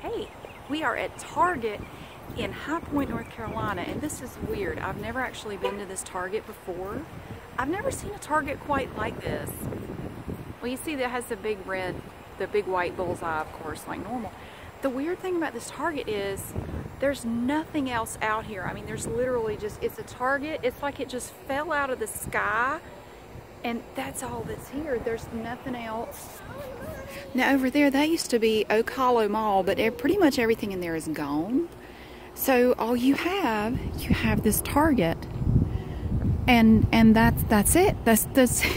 Hey, we are at Target in High Point, North Carolina, and this is weird. I've never actually been to this Target before. I've never seen a Target quite like this. Well, you see that has the big red, the big white bullseye, of course, like normal. The weird thing about this Target is there's nothing else out here. I mean, there's literally just, it's a Target. It's like it just fell out of the sky and that's all that's here. There's nothing else. Now over there, that used to be Oak Mall, but pretty much everything in there is gone. So all you have, you have this Target. And and that's that's it. That's this.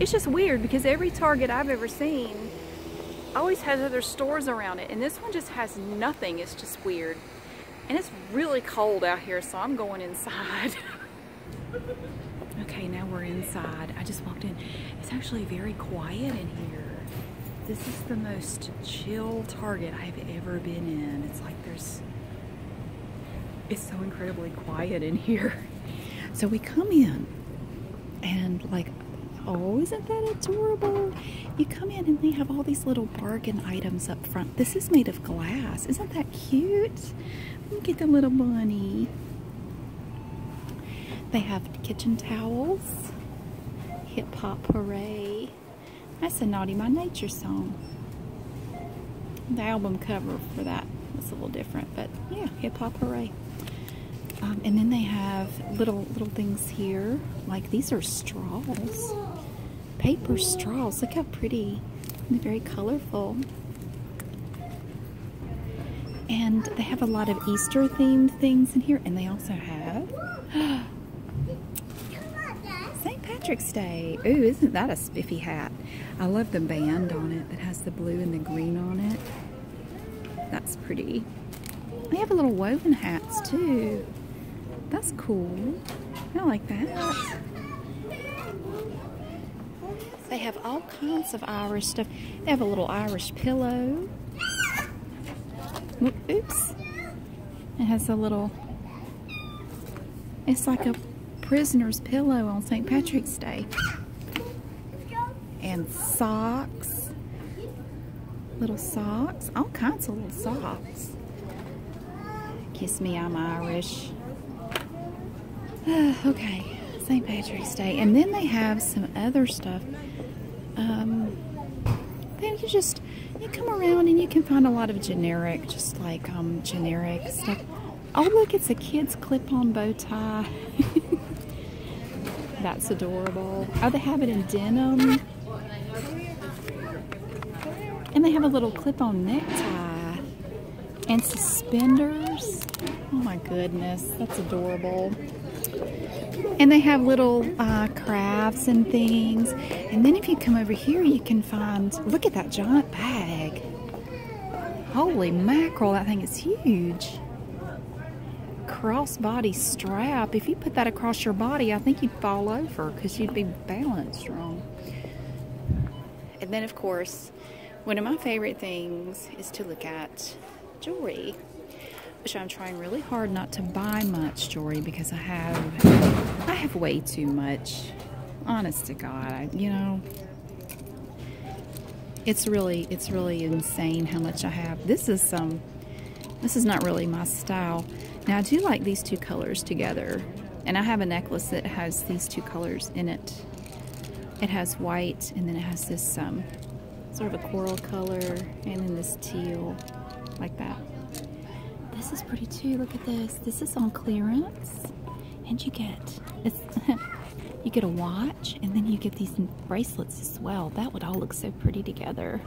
It's just weird because every Target I've ever seen always has other stores around it and this one just has nothing. It's just weird. And it's really cold out here, so I'm going inside. Okay, now we're inside. I just walked in. It's actually very quiet in here. This is the most chill Target I've ever been in. It's like there's, it's so incredibly quiet in here. So we come in and like, oh, isn't that adorable? You come in and they have all these little bargain items up front. This is made of glass. Isn't that cute? Look at the little bunny. They have kitchen towels, hip hop hooray. That's a Naughty My Nature song. The album cover for that was a little different, but yeah, hip hop hooray. Um, and then they have little little things here, like these are straws paper straws. Look how pretty and very colorful. And they have a lot of Easter themed things in here. And they also have St. Patrick's Day. Ooh, isn't that a spiffy hat? I love the band on it that has the blue and the green on it. That's pretty. They have a little woven hats too. That's cool. I like that. They have all kinds of Irish stuff. They have a little Irish pillow. Oops. It has a little, it's like a prisoner's pillow on St. Patrick's Day. And socks, little socks, all kinds of little socks. Kiss me, I'm Irish. okay, St. Patrick's Day. And then they have some other stuff. Um, then you just, you come around and you can find a lot of generic, just like um, generic stuff. Oh, look, it's a kid's clip-on bow tie. That's adorable. Oh, they have it in denim. And they have a little clip-on necktie and suspenders. Oh my goodness, that's adorable. And they have little uh, crafts and things. And then if you come over here, you can find, look at that giant bag. Holy mackerel, that thing is huge. Crossbody strap. If you put that across your body, I think you'd fall over because you'd be balanced wrong. And then, of course, one of my favorite things is to look at jewelry, which I'm trying really hard not to buy much jewelry because I have I have way too much. Honest to God, I, you know, it's really it's really insane how much I have. This is some. Um, this is not really my style. Now I do like these two colors together. And I have a necklace that has these two colors in it. It has white, and then it has this um, sort of a coral color, and then this teal, like that. This is pretty too. Look at this. This is on clearance, and you get it's. you get a watch, and then you get these bracelets as well. That would all look so pretty together.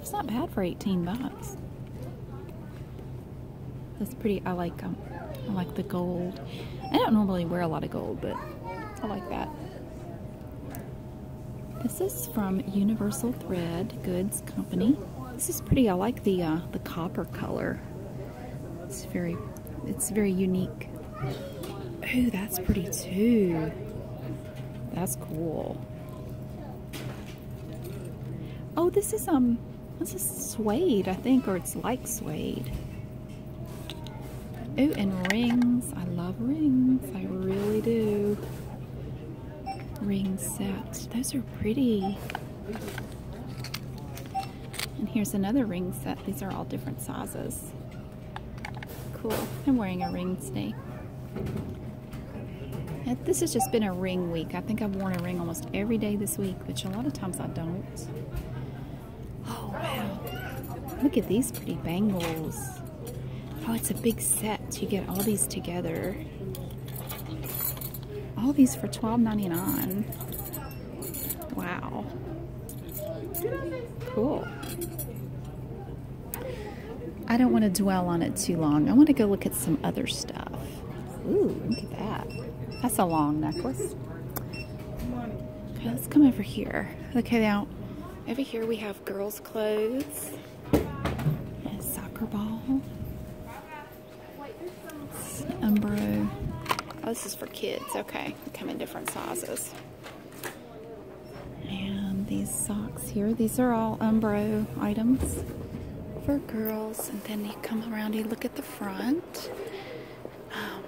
It's not bad for 18 bucks. That's pretty. I like um, I like the gold. I don't normally wear a lot of gold, but I like that. This is from Universal Thread Goods Company. This is pretty. I like the uh, the copper color. It's very it's very unique. Oh, that's pretty too. That's cool. Oh, this is um this is suede, I think, or it's like suede. Oh, and rings. I love rings. I really do. Ring sets. Those are pretty. And here's another ring set. These are all different sizes. Cool. I'm wearing a ring today. This has just been a ring week. I think I've worn a ring almost every day this week, which a lot of times I don't. Oh, wow. Look at these pretty bangles. Oh, it's a big set. You get all these together. All these for $12.99. Wow. Cool. I don't want to dwell on it too long. I want to go look at some other stuff. Ooh, look at that. That's a long necklace. Okay, let's come over here. Okay, now, over here we have girls' clothes. And soccer ball. Umbro. Oh, this is for kids. Okay, they come in different sizes. And these socks here, these are all Umbro items for girls then you come around you look at the front um,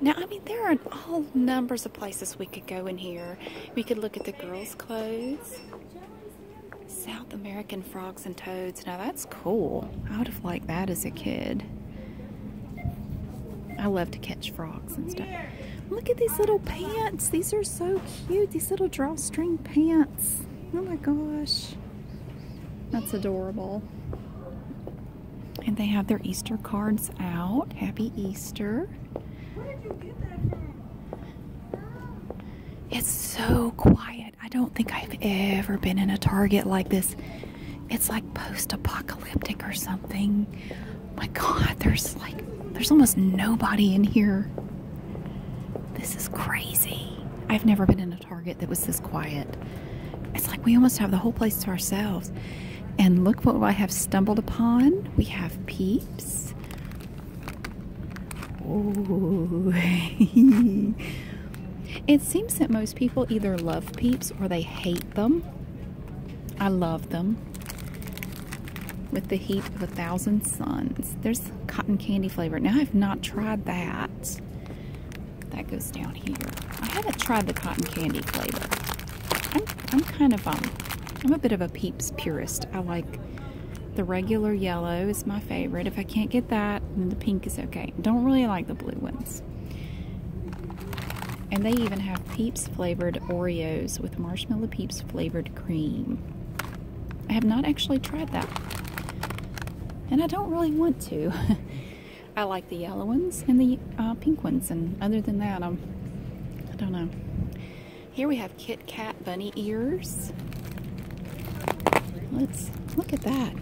now i mean there are all numbers of places we could go in here we could look at the girls clothes south american frogs and toads now that's cool i would have liked that as a kid i love to catch frogs and stuff look at these little pants these are so cute these little drawstring pants Oh my gosh. That's adorable. And they have their Easter cards out. Happy Easter. It's so quiet. I don't think I've ever been in a Target like this. It's like post-apocalyptic or something. My God, there's like, there's almost nobody in here. This is crazy. I've never been in a Target that was this quiet. It's like we almost have the whole place to ourselves. And look what I have stumbled upon. We have peeps. Oh. it seems that most people either love peeps or they hate them. I love them. With the heat of a thousand suns. There's cotton candy flavor. Now I've not tried that. That goes down here. I haven't tried the cotton candy flavor. I'm, I'm kind of um, I'm a bit of a Peeps purist. I like the regular yellow is my favorite. If I can't get that, then the pink is okay. Don't really like the blue ones. And they even have Peeps flavored Oreos with marshmallow Peeps flavored cream. I have not actually tried that. And I don't really want to. I like the yellow ones and the uh, pink ones, and other than that, I'm, I don't know. Here we have Kit Kat bunny ears. Let's look at that.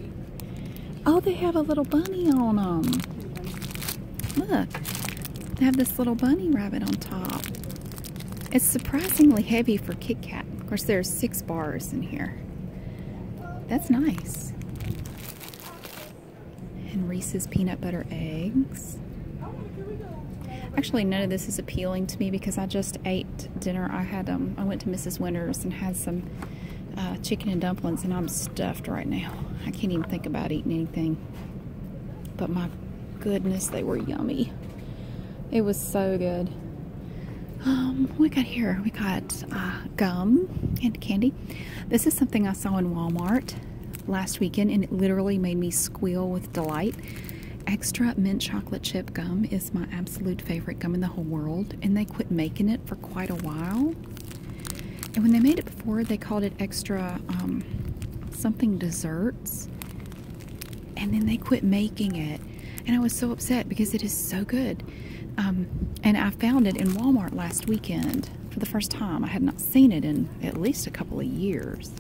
Oh, they have a little bunny on them. Look, they have this little bunny rabbit on top. It's surprisingly heavy for Kit Kat. Of course, there's six bars in here. That's nice. And Reese's peanut butter eggs. Actually, none of this is appealing to me because I just ate dinner. I had um, I went to Mrs. Winter's and had some uh, chicken and dumplings, and I'm stuffed right now. I can't even think about eating anything. But my goodness, they were yummy. It was so good. Um, we got here. We got uh, gum and candy. This is something I saw in Walmart last weekend, and it literally made me squeal with delight. Extra mint chocolate chip gum is my absolute favorite gum in the whole world, and they quit making it for quite a while. And when they made it before, they called it extra um, something desserts and then they quit making it and i was so upset because it is so good um, and i found it in walmart last weekend for the first time i had not seen it in at least a couple of years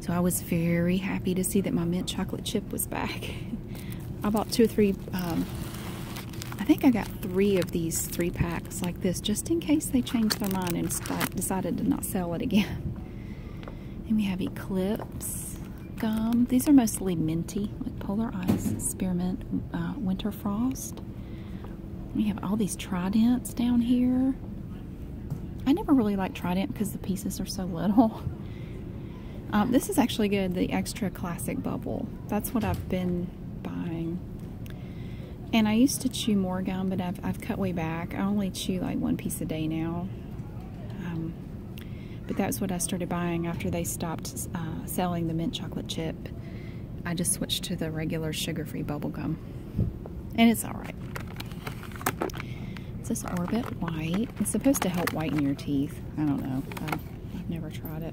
so i was very happy to see that my mint chocolate chip was back i bought two or three um, i think i got three of these three packs like this just in case they changed their mind and decided to not sell it again And we have Eclipse gum. These are mostly minty, like Polar Ice, Spearmint, uh, Winter Frost. We have all these tridents down here. I never really like trident because the pieces are so little. Um, this is actually good, the extra classic bubble. That's what I've been buying. And I used to chew more gum, but I've cut way back. I only chew like one piece a day now. Um, but that's what I started buying after they stopped uh, selling the mint chocolate chip. I just switched to the regular sugar-free bubble gum, and it's all right. It's this Orbit White. It's supposed to help whiten your teeth. I don't know. I've, never tried it.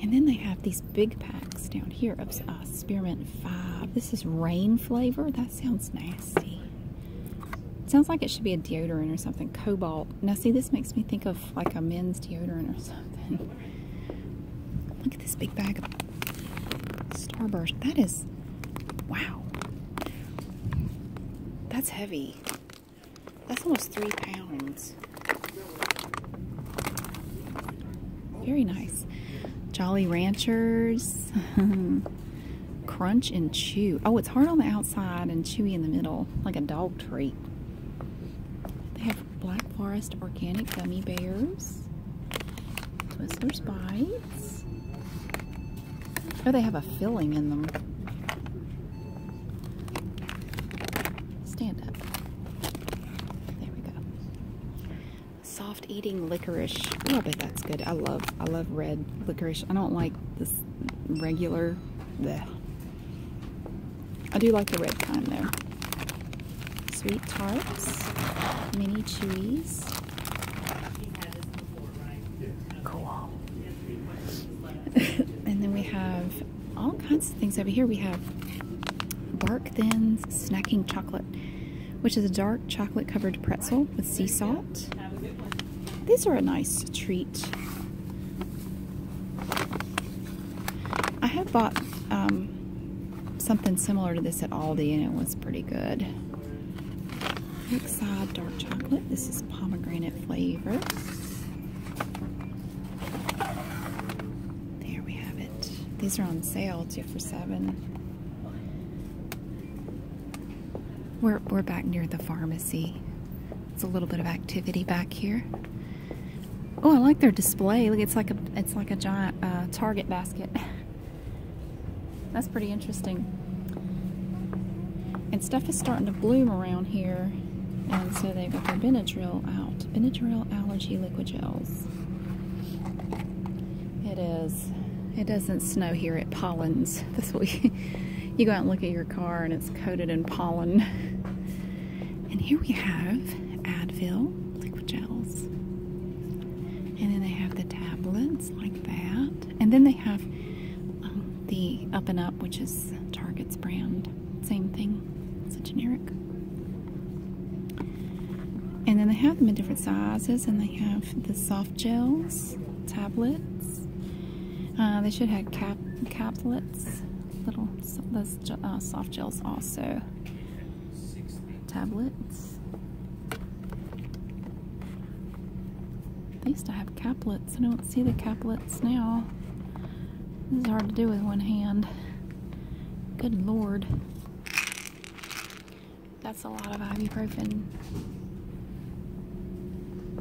And then they have these big packs down here of uh, Spearmint 5. This is rain flavor sounds nasty. sounds like it should be a deodorant or something. Cobalt. Now, see, this makes me think of like a men's deodorant or something. Look at this big bag of Starburst. That is, wow. That's heavy. That's almost three pounds. Very nice. Jolly Ranchers. Crunch and chew. Oh, it's hard on the outside and chewy in the middle, like a dog treat. They have Black Forest Organic Gummy Bears. Twizzlers Bites. Oh, they have a filling in them. Stand up. There we go soft eating licorice. Oh, but that's good. I love I love red licorice. I don't like this regular. Bleh. I do like the red kind though. Sweet tarts, mini chewies. Cool. and then we have all kinds of things over here. We have bark thins, snacking chocolate which is a dark chocolate covered pretzel with sea salt. These are a nice treat. I have bought um, something similar to this at Aldi and it was pretty good. Next dark chocolate. This is pomegranate flavor. There we have it. These are on sale, two for seven. We're, we're back near the pharmacy. It's a little bit of activity back here. Oh, I like their display. Look, it's like a it's like a giant uh, Target basket. That's pretty interesting. And stuff is starting to bloom around here, and so they've got their Benadryl out. Benadryl allergy liquid gels. It is it doesn't snow here, at pollens. this week. you go out and look at your car and it's coated in pollen. And here we have Advil liquid gels. And then they have the tablets like that. And then they have um, the Up and Up, which is Target's brand. Same thing, it's a generic. And then they have them in different sizes, and they have the soft gels, tablets. Uh, they should have cap caplets, little those uh, soft gels also. Tablets. They used to have caplets. I don't see the caplets now. This is hard to do with one hand. Good lord. That's a lot of ibuprofen.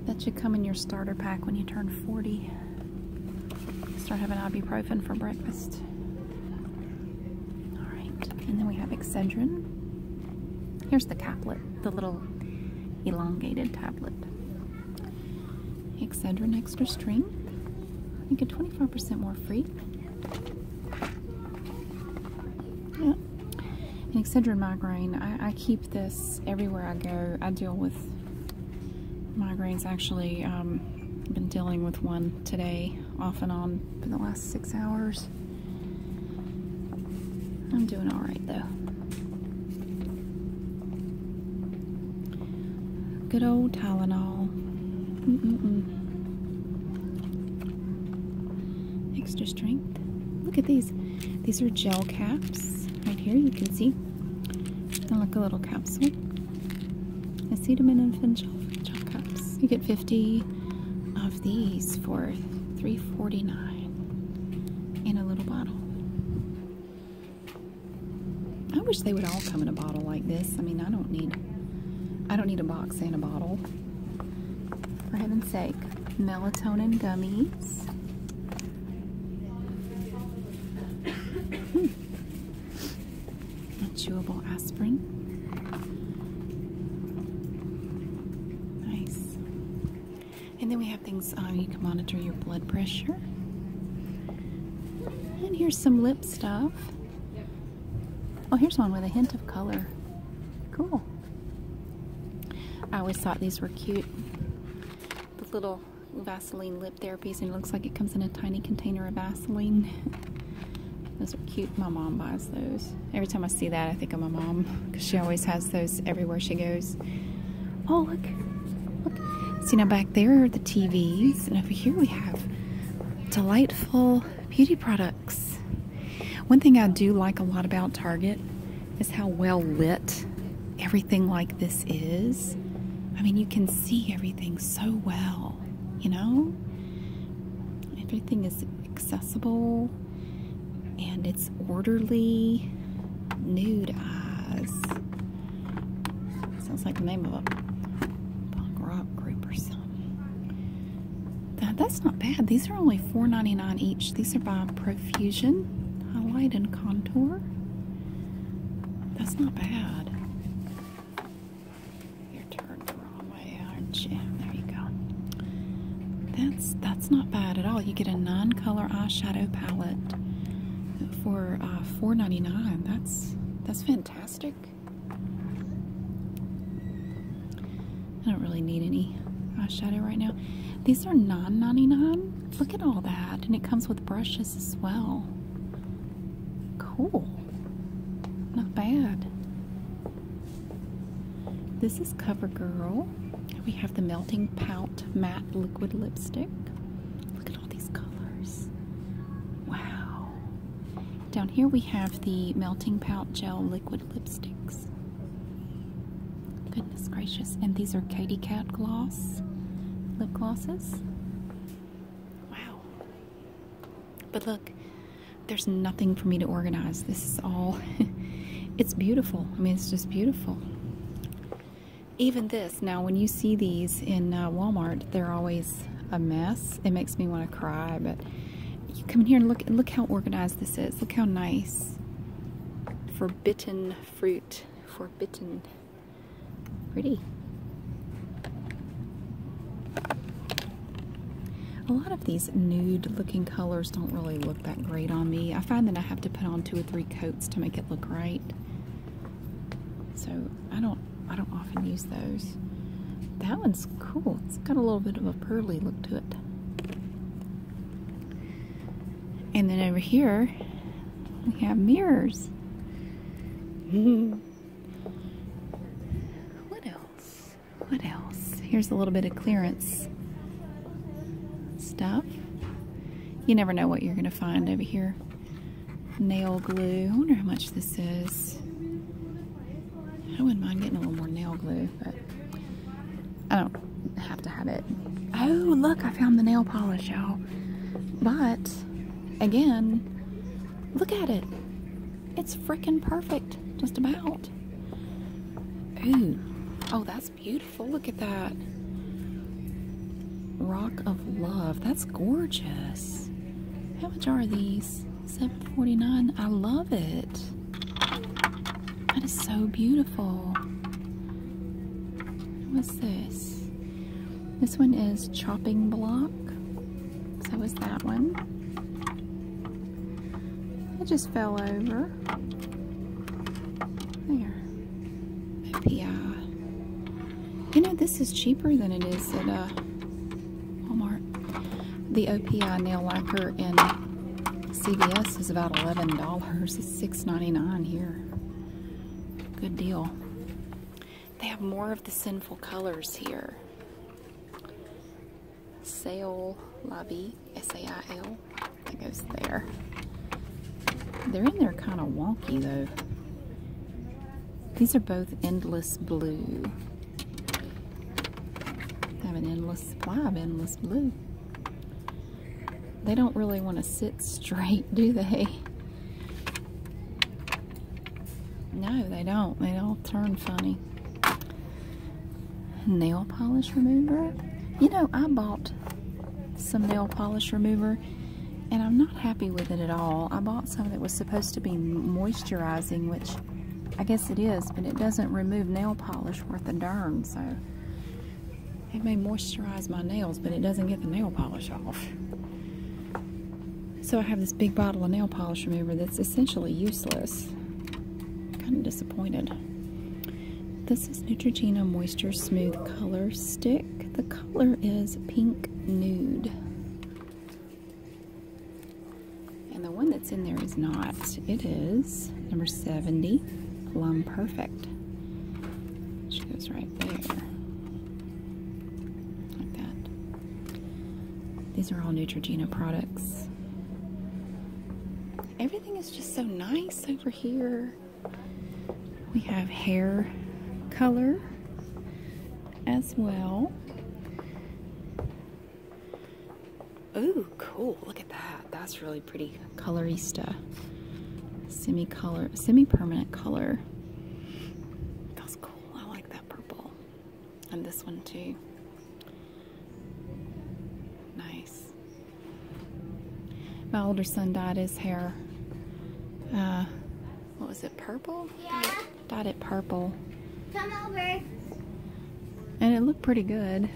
That should come in your starter pack when you turn 40. Start having ibuprofen for breakfast. Alright, and then we have Excedrin. Here's the caplet, the little elongated tablet. Excedrin Extra Strength. I think get 25% more free yeah. And Excedrin migraine, I, keep this everywhere I go. I deal with migraines actually. Um, I've been dealing with one today, off and on, for the last six hours. I'm doing all right though. Good old Tylenol extra strength. Look at these. These are gel caps. Right here you can see. They're like a little capsule. Acetaminophen and gel caps. You get 50 of these for 3.49 in a little bottle. I wish they would all come in a bottle like this. I mean, I don't need I don't need a box and a bottle for heaven's sake, melatonin gummies. Hmm. A chewable aspirin. Nice. And then we have things uh, you can monitor your blood pressure. And here's some lip stuff. Oh, here's one with a hint of color. Cool. I always thought these were cute. The little Vaseline lip therapies, and it looks like it comes in a tiny container of Vaseline. those are cute. My mom buys those. Every time I see that, I think of my mom because she always has those everywhere she goes. Oh, look. Look. See, now back there are the TVs, and over here we have delightful beauty products. One thing I do like a lot about Target is how well lit everything like this is. I mean, you can see everything so well, you know? Everything is accessible and it's orderly. Nude eyes. Sounds like the name of a punk rock group or something that's not bad. These are only $4.99 each. These are by Profusion Highlight and Contour. That's not bad. You're turned the wrong way, aren't you? There you go. That's that's not bad at all. You get a non color eyeshadow palette for uh, $4.99. That's that's fantastic. I don't really need any eyeshadow right now. These are non dollars non. Look at all that. And it comes with brushes as well. Cool. Not bad. This is CoverGirl. We have the Melting Pout Matte Liquid Lipstick. Look at all these colors. Wow. Down here we have the Melting Pout Gel Liquid Lipsticks. Goodness gracious. And these are Katy Cat Gloss lip glosses. Wow. But look, there's nothing for me to organize. This is all, it's beautiful. I mean, it's just beautiful. Even this, now when you see these in uh, Walmart, they're always a mess. It makes me want to cry, but you come in here and look look how organized this is. Look how nice. Forbidden fruit. Forbidden. Pretty. A lot of these nude looking colors don't really look that great on me. I find that I have to put on two or three coats to make it look right. So I don't I don't often use those. That one's cool. It's got a little bit of a pearly look to it. And then over here, we have mirrors. Hmm. what else? What else? Here's a little bit of clearance stuff. You never know what you're going to find over here. Nail glue. I wonder how much this is. I wouldn't mind getting a little more nail glue, but I don't have to have it. Oh, look, I found the nail polish, y'all. But, again, look at it. It's freaking perfect, just about. Ooh, oh, that's beautiful. Look at that. Rock of Love. That's gorgeous. How much are these? 749. I love it. That is so beautiful. What's this? This one is chopping block. So is that one. It just fell over. There. OPI. You know, this is cheaper than it is at uh, Walmart. The OPI nail lacquer in CVS is about $11. It's $6.99 here. Good deal. They have more of the sinful colors here. Sale Lobby, S-A-I-L. That goes there. They're in there kind of wonky though. These are both endless blue. Have an endless supply of endless blue. They don't really want to sit straight, do they? No, they don't. They all turn funny. Nail polish remover. You know, I bought some nail polish remover and I'm not happy with it at all. I bought some that was supposed to be moisturizing, which I guess it is, but it doesn't remove nail polish worth a darn, so it may moisturize my nails, but it doesn't get the nail polish off. So I have this big bottle of nail polish remover that's essentially useless. kind of disappointed. This is Neutrogena Moisture Smooth Color Stick. The color is pink nude. And the one that's in there is not. It is number 70, Plum Perfect. She goes right there. Like that. These are all Neutrogena products. Everything is just so nice over here. We have hair color as well. Ooh, cool. Look at that. That's really pretty. Colorista. Semi-color, semi-permanent color. That's cool. I like that purple. And this one too. Nice. My older son dyed his hair. Uh, what was it? Purple? Yeah dotted purple. Come over. And it looked pretty good.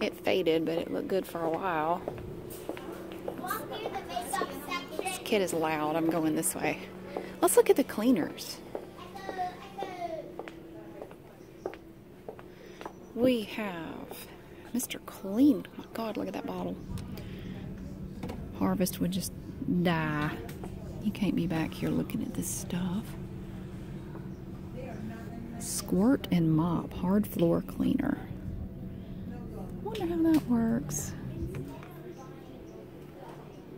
It faded, but it looked good for a while. This kid is loud. I'm going this way. Let's look at the cleaners. We have Mr. Clean. my God, look at that bottle. Harvest would just die. You can't be back here looking at this stuff. Squirt and mop, hard floor cleaner. Wonder how that works.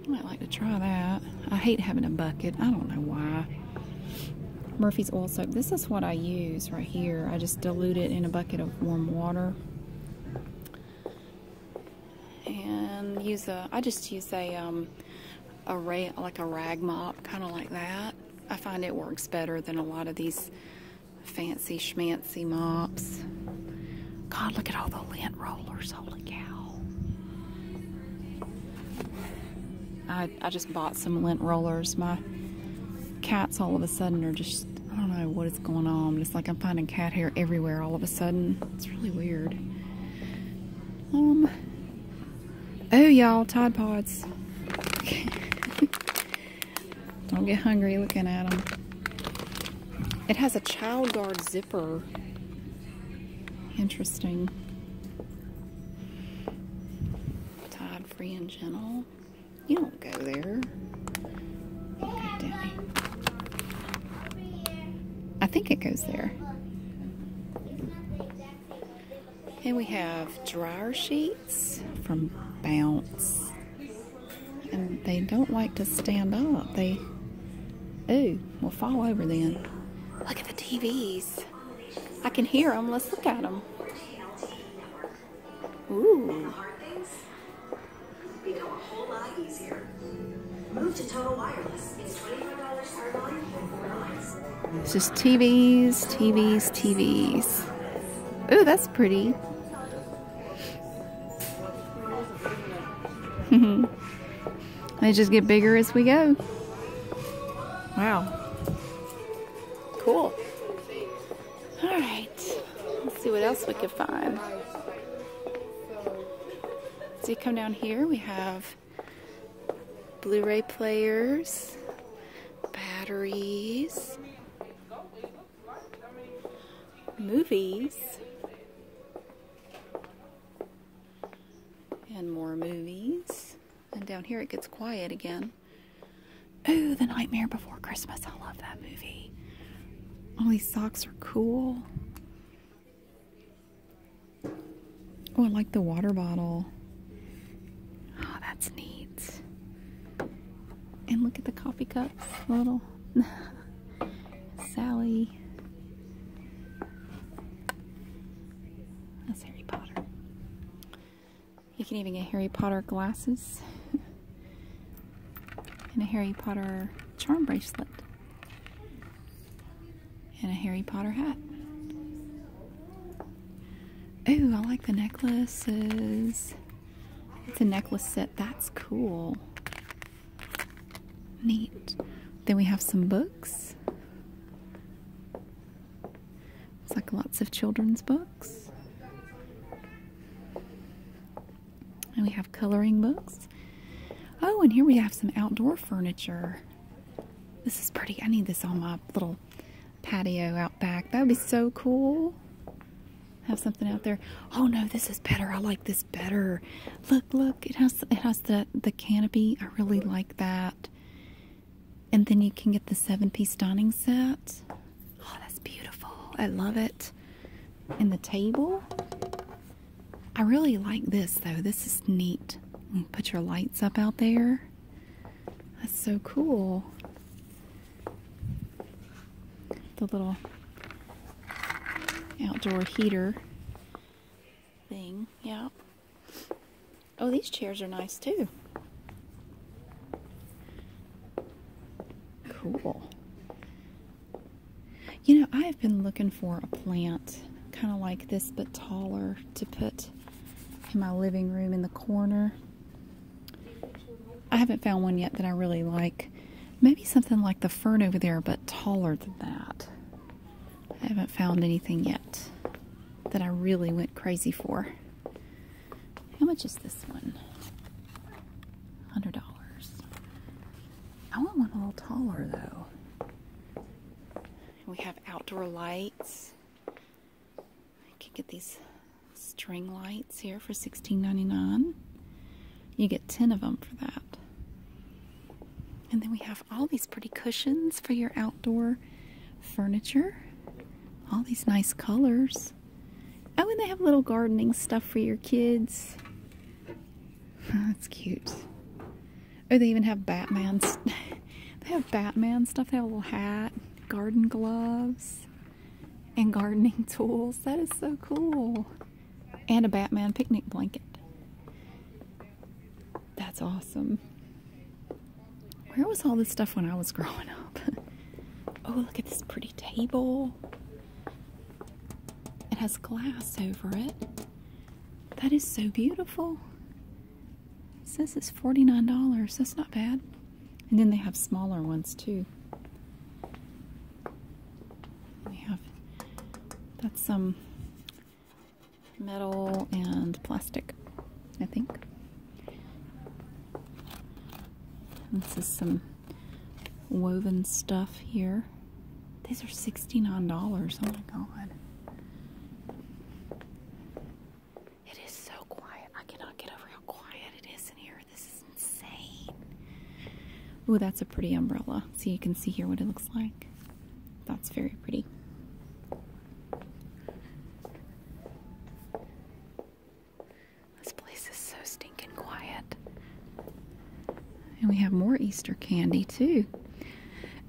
Might like to try that. I hate having a bucket. I don't know why. Murphy's oil soap. This is what I use right here. I just dilute it in a bucket of warm water and use a I just use a um, a rag like a rag mop kind of like that I find it works better than a lot of these fancy schmancy mops God look at all the lint rollers holy cow I, I just bought some lint rollers my cats all of a sudden are just I don't know what is going on it's like I'm finding cat hair everywhere all of a sudden it's really weird. Um, oh, y'all, Tide Pods. Don't get hungry looking at them. It has a child guard zipper. Interesting. Tide free and gentle. You don't go there. I think it goes there. And we have dryer sheets from Bounce. And they don't like to stand up. They, ooh, will fall over then. Look at the TVs. I can hear them. Let's look at them. Ooh become a whole lot easier. Move to Total Wireless. It's $25 per It's just TVs, TVs, TVs. Ooh, that's pretty. they just get bigger as we go. Wow. Cool. All right. Let's see what else we can find. So you come down here, we have Blu-ray players, batteries, movies, and more movies. And down here it gets quiet again. Oh, The Nightmare Before Christmas. I love that movie. All these socks are cool. Oh, I like the water bottle. Oh, that's neat. And look at the coffee cups. Little Sally. That's Harry Potter. You can even get Harry Potter glasses and a Harry Potter charm bracelet and a Harry Potter hat. Ooh, I like the necklaces. It's a necklace set. That's cool. Neat. Then we have some books. It's like lots of children's books. And we have coloring books. Oh, and here we have some outdoor furniture. This is pretty. I need this on my little patio out back. That would be so cool. Have something out there. Oh no, this is better. I like this better. Look, look. It has it has the the canopy. I really like that. And then you can get the seven-piece dining set. Oh, that's beautiful. I love it. And the table. I really like this though. This is neat. put your lights up out there. That's so cool. The little outdoor heater thing. Yeah. Oh, these chairs are nice too. Cool. You know, I have been looking for a plant kind of like this but taller to put in my living room in the corner. I haven't found one yet that I really like. Maybe something like the fern over there but taller than that. I haven't found anything yet that I really went crazy for. How much is this one? $100. I want one a little taller though. We have outdoor lights. I can get these string lights here for $16.99. You get 10 of them for that. And then we have all these pretty cushions for your outdoor furniture. All these nice colors. Oh, and they have little gardening stuff for your kids. Oh, that's cute. Oh, they even have Batman. they have Batman stuff. They have a little hat, garden gloves, and gardening tools. That is so cool. And a Batman picnic blanket. That's awesome. Where was all this stuff when I was growing up? oh, look at this pretty table. It has glass over it. That is so beautiful. It says it's $49. That's not bad. And then they have smaller ones too. We have that's some metal and plastic, I think. This is some woven stuff here. These are $69. Oh my god. It is so quiet. I cannot get over how quiet it is in here. This is insane. Ooh, that's a pretty umbrella. So you can see here what it looks like. That's very pretty. This place is so steep. And quiet. And we have more Easter candy too.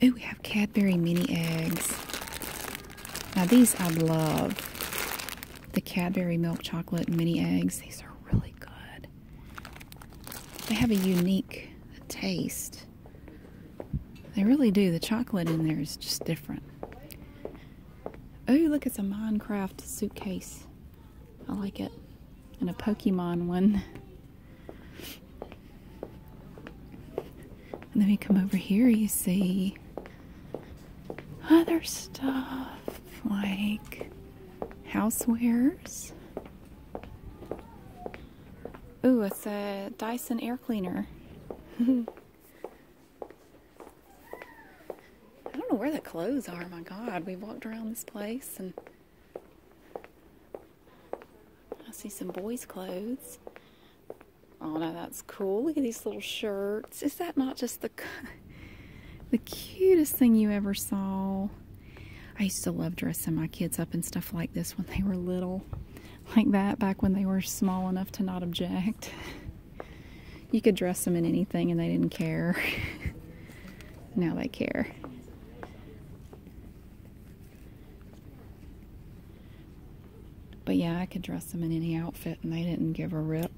Oh, we have Cadbury mini eggs. Now these I love. The Cadbury milk chocolate mini eggs. These are really good. They have a unique taste. They really do. The chocolate in there is just different. Oh, look, it's a Minecraft suitcase. I like it. And a Pokemon one. And then we come over here, you see other stuff like housewares. Ooh, it's a Dyson air cleaner. I don't know where the clothes are. My God, we walked around this place and I see some boys' clothes. Oh, no, that's cool. Look at these little shirts. Is that not just the, the cutest thing you ever saw? I used to love dressing my kids up and stuff like this when they were little. Like that, back when they were small enough to not object. You could dress them in anything and they didn't care. now they care. But yeah, I could dress them in any outfit and they didn't give a rip.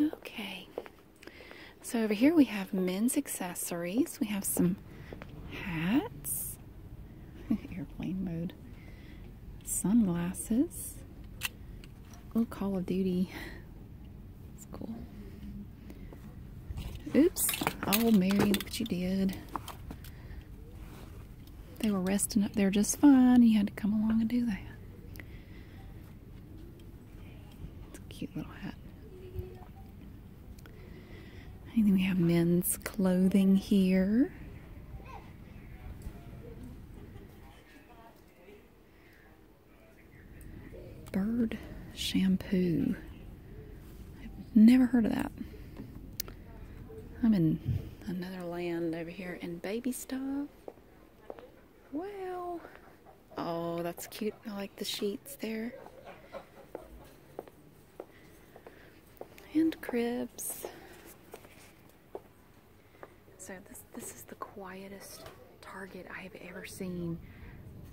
okay. So over here we have men's accessories. We have some hats. Airplane mode. Sunglasses. Oh, Call of Duty. It's cool. Oops. Oh, Mary, look what you did. They were resting up there just fine. You had to come along and do that. It's a cute little hat. I think we have men's clothing here. Bird shampoo. I've never heard of that. I'm in another land over here. And baby stuff. Wow. Oh, that's cute. I like the sheets there. And cribs. So this this is the quietest Target I have ever seen.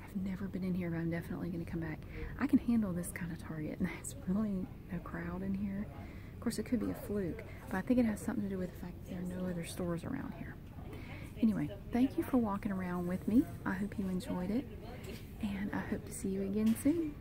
I've never been in here, but I'm definitely going to come back. I can handle this kind of Target, and there's really no crowd in here. Of course, it could be a fluke, but I think it has something to do with the fact that there are no other stores around here. Anyway, thank you for walking around with me. I hope you enjoyed it, and I hope to see you again soon.